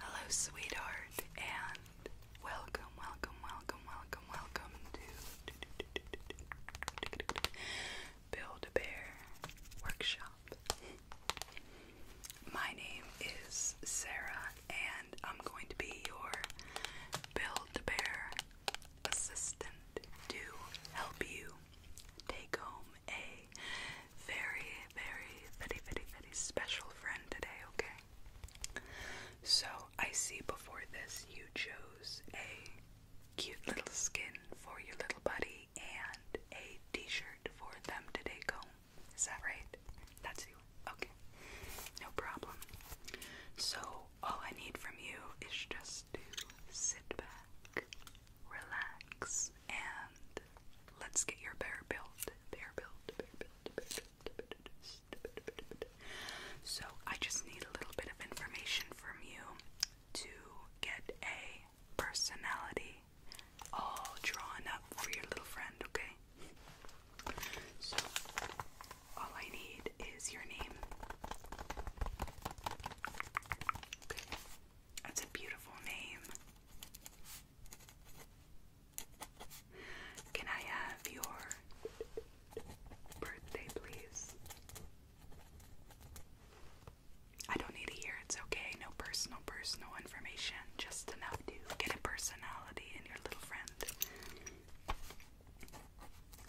Hello, sweetheart, and welcome, welcome, welcome, welcome, welcome to Build a Bear Workshop. My name is Sarah, and I'm going to be your Build a Bear assistant to help you take home a very, very, very, very, very special friend today, okay? So, I see before this you chose a cute little skin for your little buddy and a t shirt for them today, comb. Is that right? That's you. Okay. No problem. So, all I need from you is just to sit back, relax, and let's get your bear built. Bear built, So, I just need a little bit of information from you to get a personality all drawn up for your little friend, okay? So, all I need is your name. Okay. That's a beautiful name. Can I have your birthday, please? I don't need a year, it's okay. No personal, personal information. Just enough to get a personality in your little friend.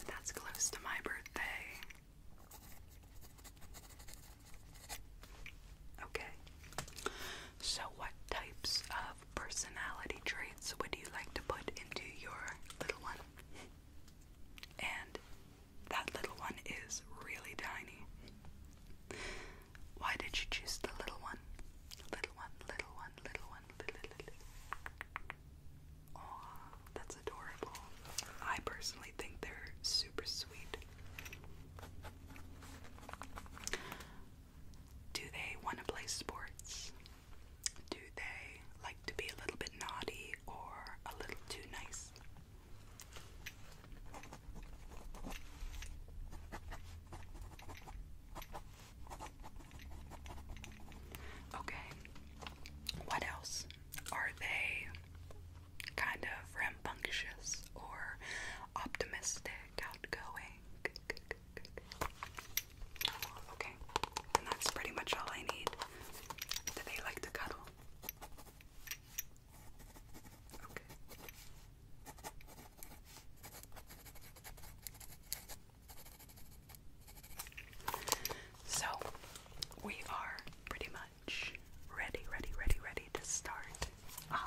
That's close to my birthday. Okay. So, what types of personality traits would you like to put into your little one? And that little one is really tiny. Why did you choose the little one? Little one, little one, little one, little, little. Oh, that's adorable. I personally think they're super sweet. Do they want to play sports? Do they like to be a little bit naughty or a little too nice? Okay. What else? Are they kind of rambunctious or optimistic, outgoing. Okay, and that's pretty much all I need. Do they like to cuddle? Okay. So, we are pretty much ready, ready, ready, ready to start. Um,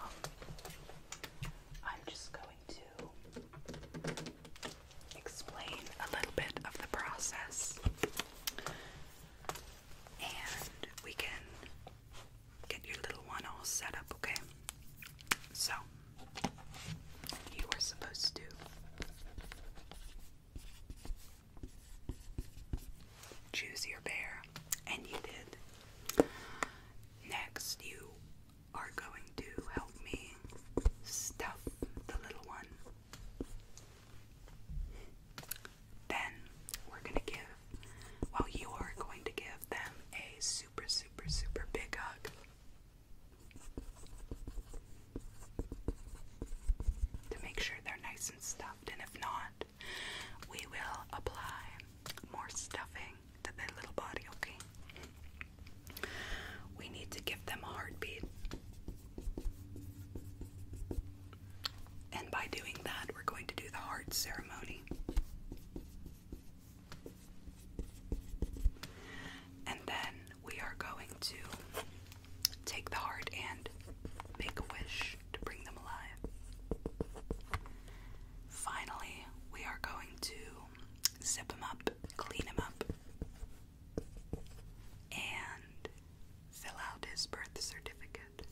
I'm just going to explain a little bit of the process and we can get your little one all set up, okay? So, you are supposed to Choose your bear, and you did. Next, you are going to help me stuff the little one. Then we're going to give, well, you are going to give them a super, super, super big hug. To make sure they're nice and stuffed, and if not, we will apply more stuffing to their little body, okay? We need to give them a heartbeat. And by doing that, we're going to do the heart ceremony. And then we are going to take the heart and make a wish to bring them alive. Finally, we are going to zip him up, clean him up, and fill out his birth certificate.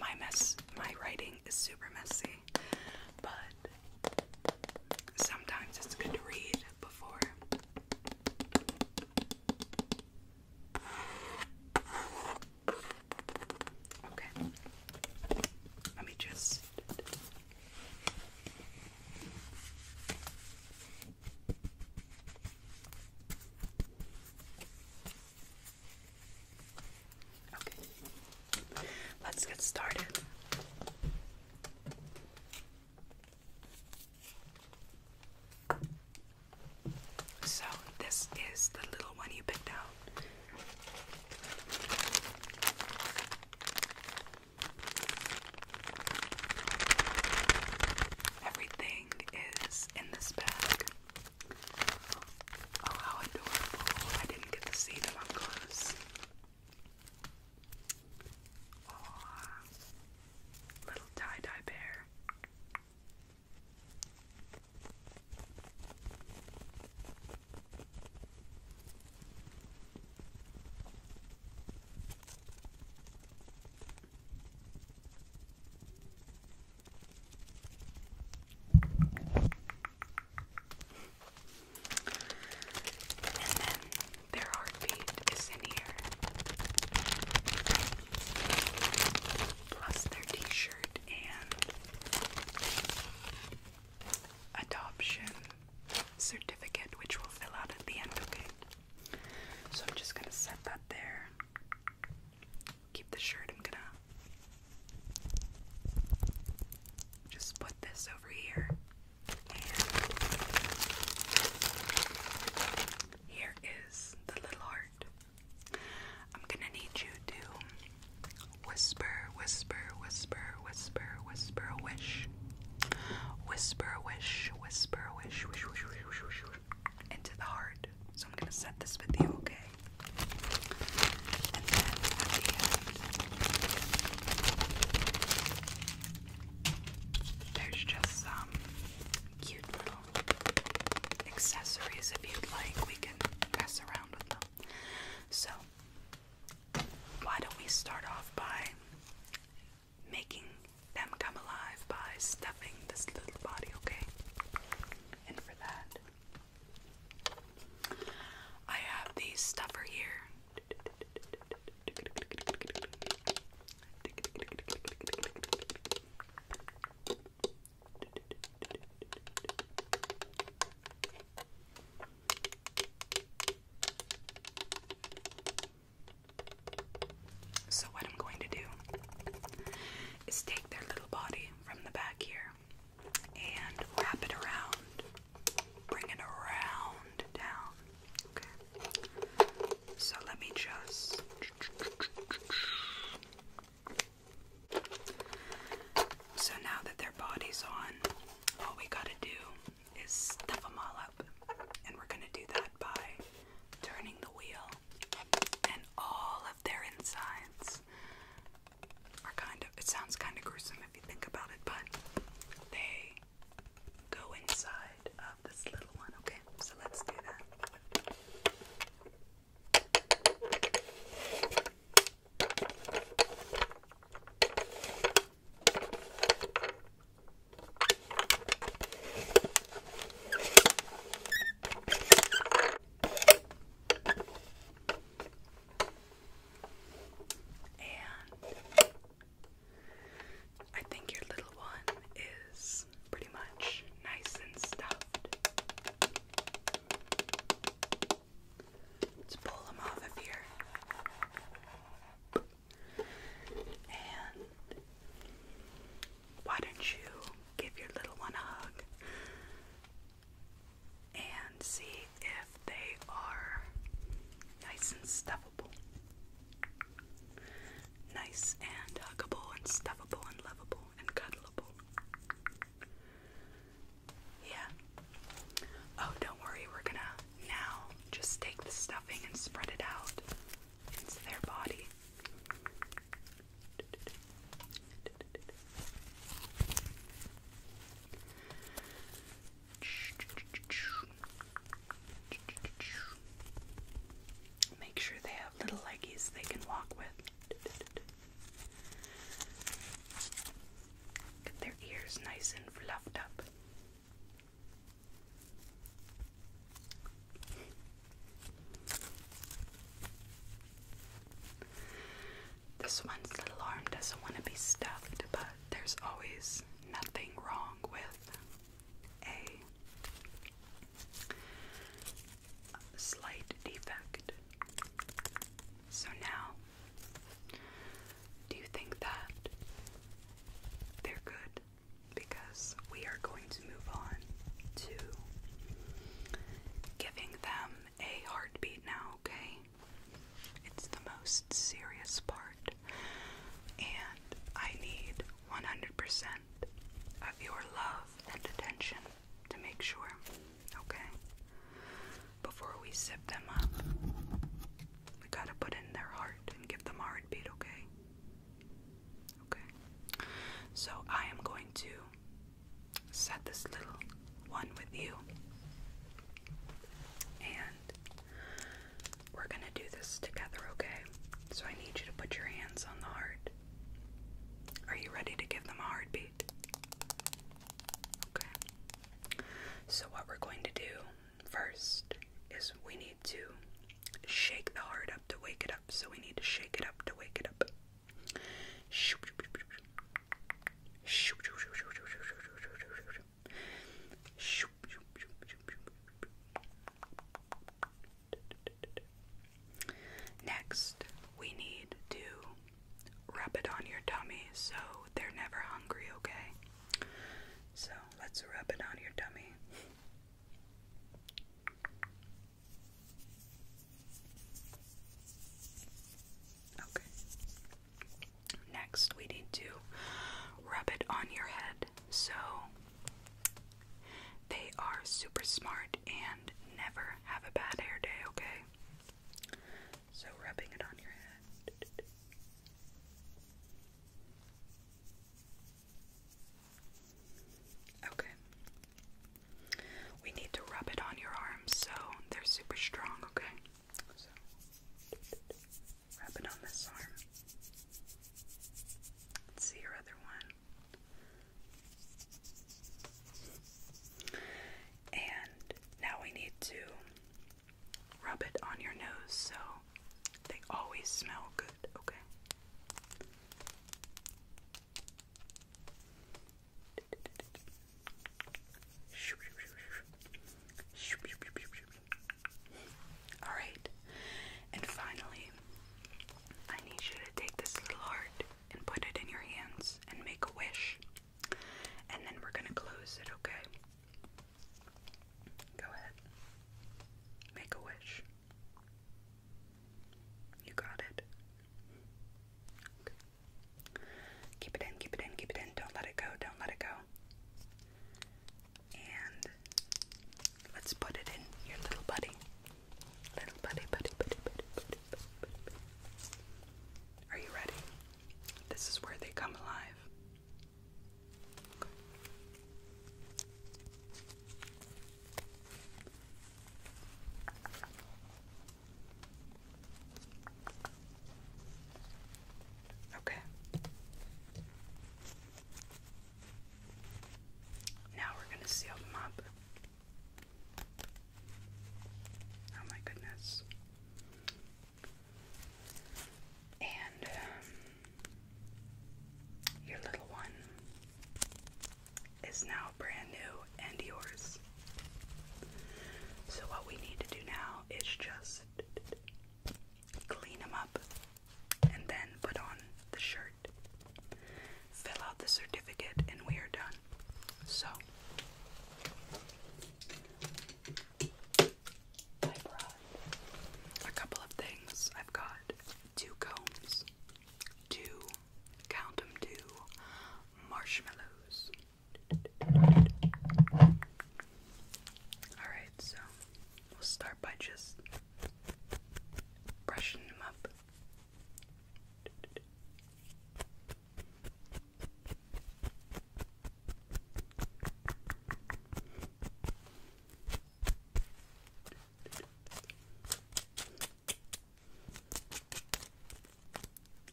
My mess, my writing is super messy, but Sometimes it's good to read before. Okay. Let me just. Okay. Let's get started. So, this is the little one you picked out. Everything is in this bag. Oh, how adorable. I didn't get to see them up close. Aww. Little tie-dye bear. And then their heartbeat is in here. Plus their t-shirt and adoption certificate, which we'll fill out at the end, okay? So I'm just gonna set that there. Keep the shirt, I'm gonna just put this over here here is the little heart. I'm gonna need you to whisper, whisper, whisper, whisper, whisper a wish. Whisper a wish, whisper a wish, wish, wish, wish, wish, wish, wish, into the heart. So I'm gonna set this with you, okay? and then at the end, there's just some cute little accessories if you'd like. We can mess around with them. So, why don't we start off by making them come alive by stuffing this little body, okay? And for that, I have the stuffer here. So, what I'm going to do is take their little body from the back here and wrap it around bring it around down. Okay. So let me just. So now that their body's on, all we gotta do is stuff them all up. And we're gonna do that by turning the wheel. And all of their insides are kind of, it sounds kind of gruesome if you think about it, but they go inside of this little one, okay? So let's do that. And I think your little one is pretty much nice and stuffed. Let's pull him off of here. And why don't you give your little one a hug? and see if they are nice and stuffable. Nice and huggable and stuffable and lovable and cuddleable. Yeah. Oh, don't worry, we're gonna now just take the stuffing and spread it out into their body. Make sure they have little leggies they can walk with. Get their ears nice and fluffed up. This one's little arm doesn't want to be stuffed, but there's always nothing wrong with a slight defect. So now, do you think that they're good? Because we are going to move on to giving them a heartbeat now, okay? It's the most serious part, and I need 100% of your love and attention to make sure, okay? Before we zip them up, we gotta put in their heart and give them a heartbeat, okay? Okay. So I am going to set this little one with you. And we're going to do this together, okay? So I need you to put your hands on the heart. Are you ready to give them a heartbeat? Okay. So, what we're going to do first is we need to shake the heart up to wake it up. So, we need to shake it up to wake it up. Next, we need to rub it on your tummy so they're never hungry, okay? So let's rub it on your tummy. Okay. Next, we need to rub it on your head. So they are super smart and never have a bad hair day, okay? So, rubbing it on your head. Okay. We need to rub it on your arms so they're super strong, okay? So, wrap it on this arm. see your other one. And now we need to rub it on your nose so they always smell good, okay? Alright, and finally, I need you to take this little heart and put it in your hands and make a wish. And then we're going to close it, okay? Go ahead. Make a wish. You got it. Okay. Keep it in, keep it in, keep it in. Don't let it go, don't let it go. And let's put it in your little buddy. Little buddy, buddy, buddy, buddy, buddy, buddy, buddy, Are you ready? This is where they come alive. Okay. Now we're going to seal them up. Oh my goodness. And um, your little one is now brand new and yours. So what we need to do now is just clean them up and then put on the shirt. Fill out the certificate and we are done. So I brought a couple of things. I've got two combs, two, count two marshmallows, Alright, so we'll start by just brushing them up.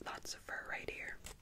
Lots of fur right here.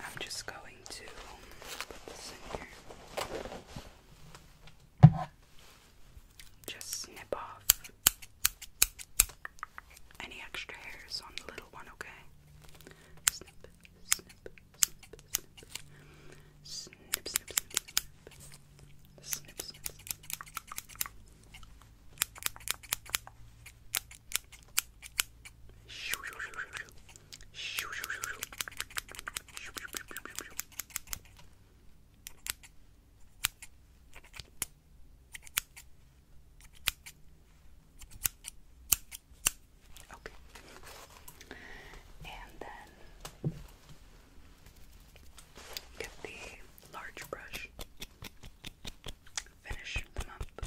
I'm just going to put this in here. Just snip off any extra hairs on the little one, okay? Snip, snip, snip, snip, snip, snip, snip, snip, snip, snip. snip. Shoo, shoo, shoo, shoo, shoo. Okay. And then get the large brush, finish them up.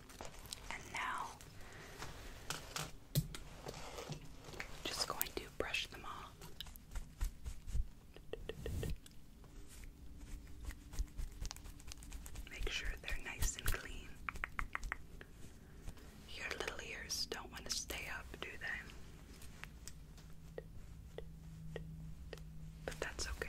and now, just going to brush them off. Make sure they're nice and clean. Your little ears don't want to stay up, do they? But that's okay.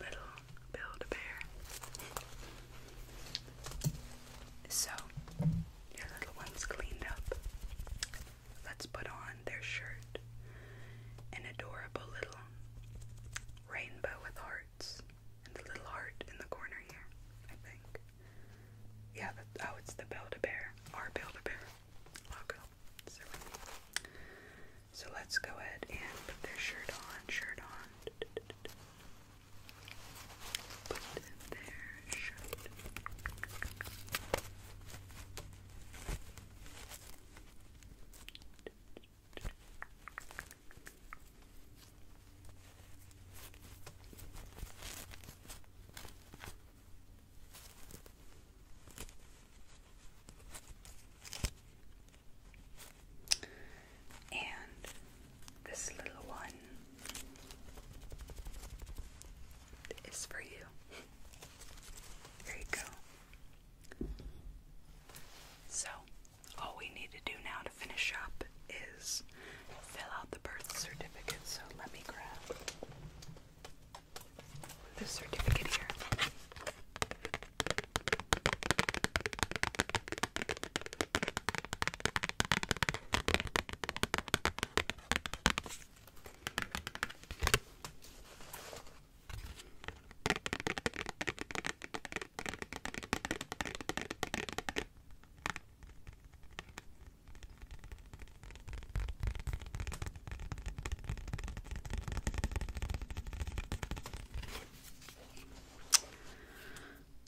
Little Build-A-Bear. So, your little one's cleaned up. Let's put on their shirt. An adorable little rainbow with hearts. And the little heart in the corner here, I think. Yeah, oh, it's the Build-A-Bear. Our Build-A-Bear logo. So let's go ahead and put their shirt on, shirt on. Put their shirt. And this little one is for you. There you go. So, all we need to do now to finish up is fill out the birth certificate. So, let me grab this certificate here.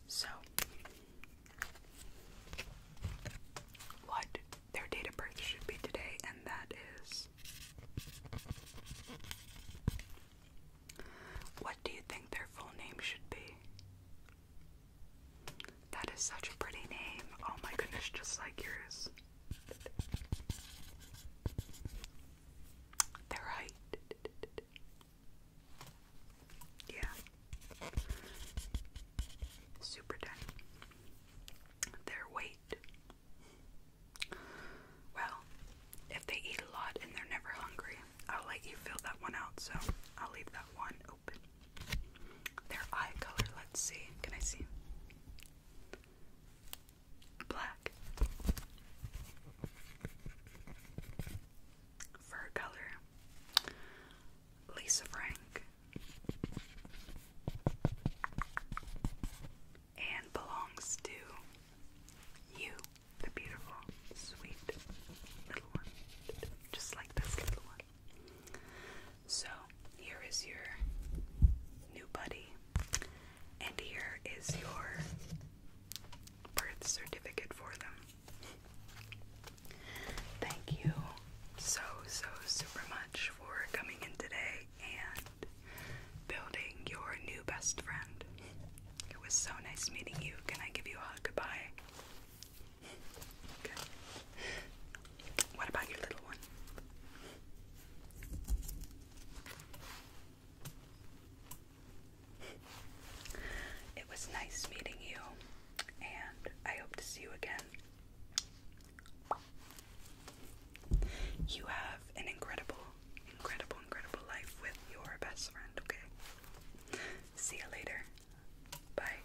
So, what their date of birth should be today, and that is. What do you think their full name should be? That is such a pretty name. Oh my goodness, just like yours. They're Yeah. Super tiny. Their weight. Well, if they eat a lot and they're never hungry, I'll let you fill that one out, so I'll leave that one open. Their eye color, let's see. Can I see? Black. Fur color. Lisa Frank. And belongs to you, the beautiful, sweet little one. Just like this little one. So here is your new buddy, and here is your birth certificate for them. Thank you so, so super much for coming in today and building your new best friend. It was so nice meeting you. Can I give you a hug? Goodbye. What about your little one? It was nice meeting you, and I hope to see you again. You have an incredible, incredible, incredible life with your best friend, okay? See you later. Bye.